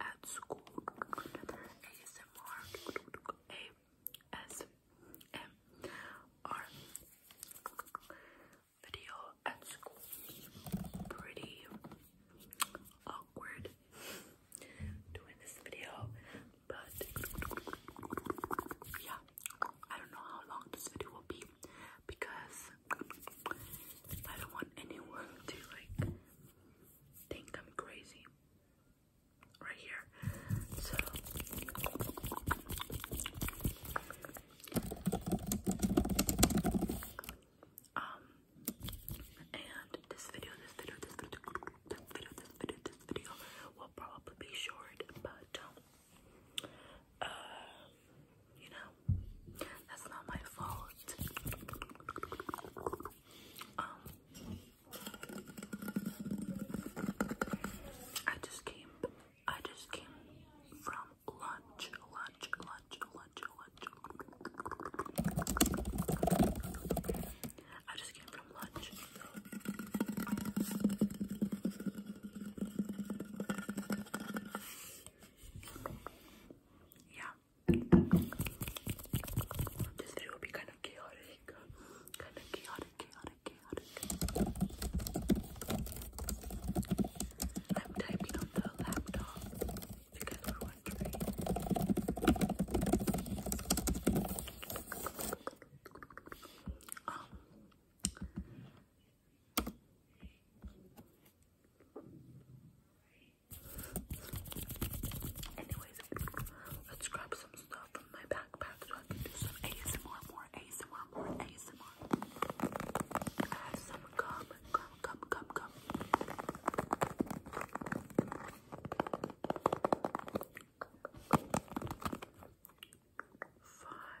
at school. ASMR. ASMR video at school. Pretty awkward doing this video, but yeah, I don't know how long this video will be because I don't want anyone to like think I'm crazy right here. So um and this video, this video, this video, this video, this video, this video will probably be short, but um, uh you know, that's not my fault. Um, I just came, I just came from lunch, lunch, lunch, lunch, lunch. I just came from lunch. Yeah, this video will be kind of chaotic. Kind of chaotic, chaotic, chaotic. I'm typing on the laptop if you guys wondering. Anyways, let's grab some stuff from my backpack so I can do some ASMR, more ASMR, more ASMR. I have some gum, gum, gum, gum, gum. Five,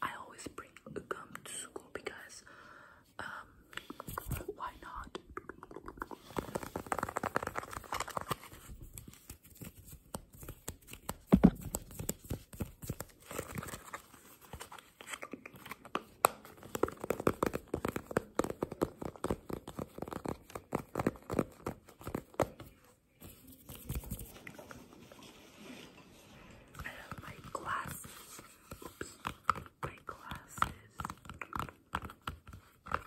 I always bring gum to school because, um, why not? My glasses. Oops. My glasses. My glasses. All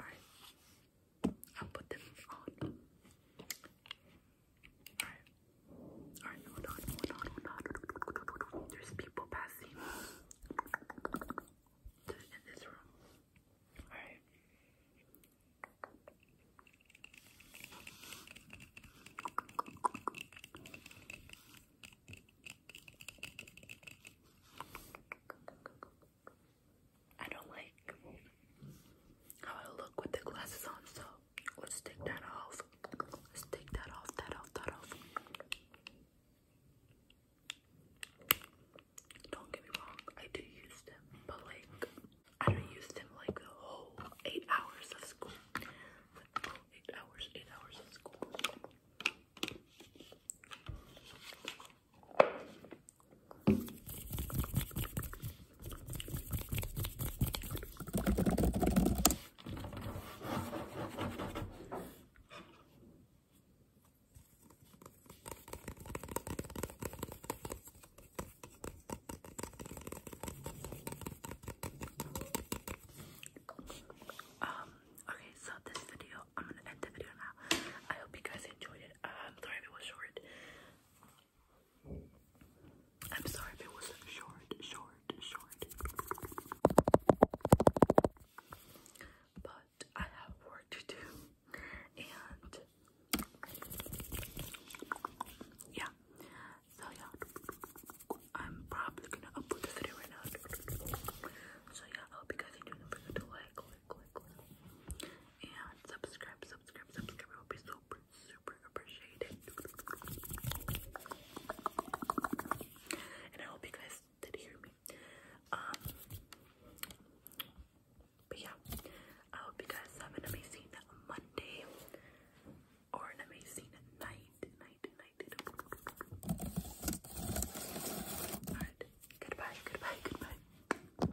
right. I'll put them on. Alright. Alright, hold on, hold on, hold on. There's people passing in this room. Alright. I don't like how I look with the glasses on, so Let's take that off. Let's take that off, that off, that off. Don't get me wrong, I do use them, but like, I don't use them like the whole eight hours of school. Like, hours, eight hours of school. Um, okay, so this video, I'm gonna end the video now. I hope you guys enjoyed it. I'm um, sorry was short. I'm sorry if it was short, short, short. But I have work to do. And yeah. So yeah. I'm probably gonna upload this video right now. So yeah, hope you guys enjoy. Don't forget to like, like, like, and subscribe, subscribe, subscribe. It be super, super appreciated. And I hope you guys did hear me. Um, but yeah, I hope you guys have an amazing Monday or an amazing night, night, night. Alright, goodbye, goodbye, goodbye.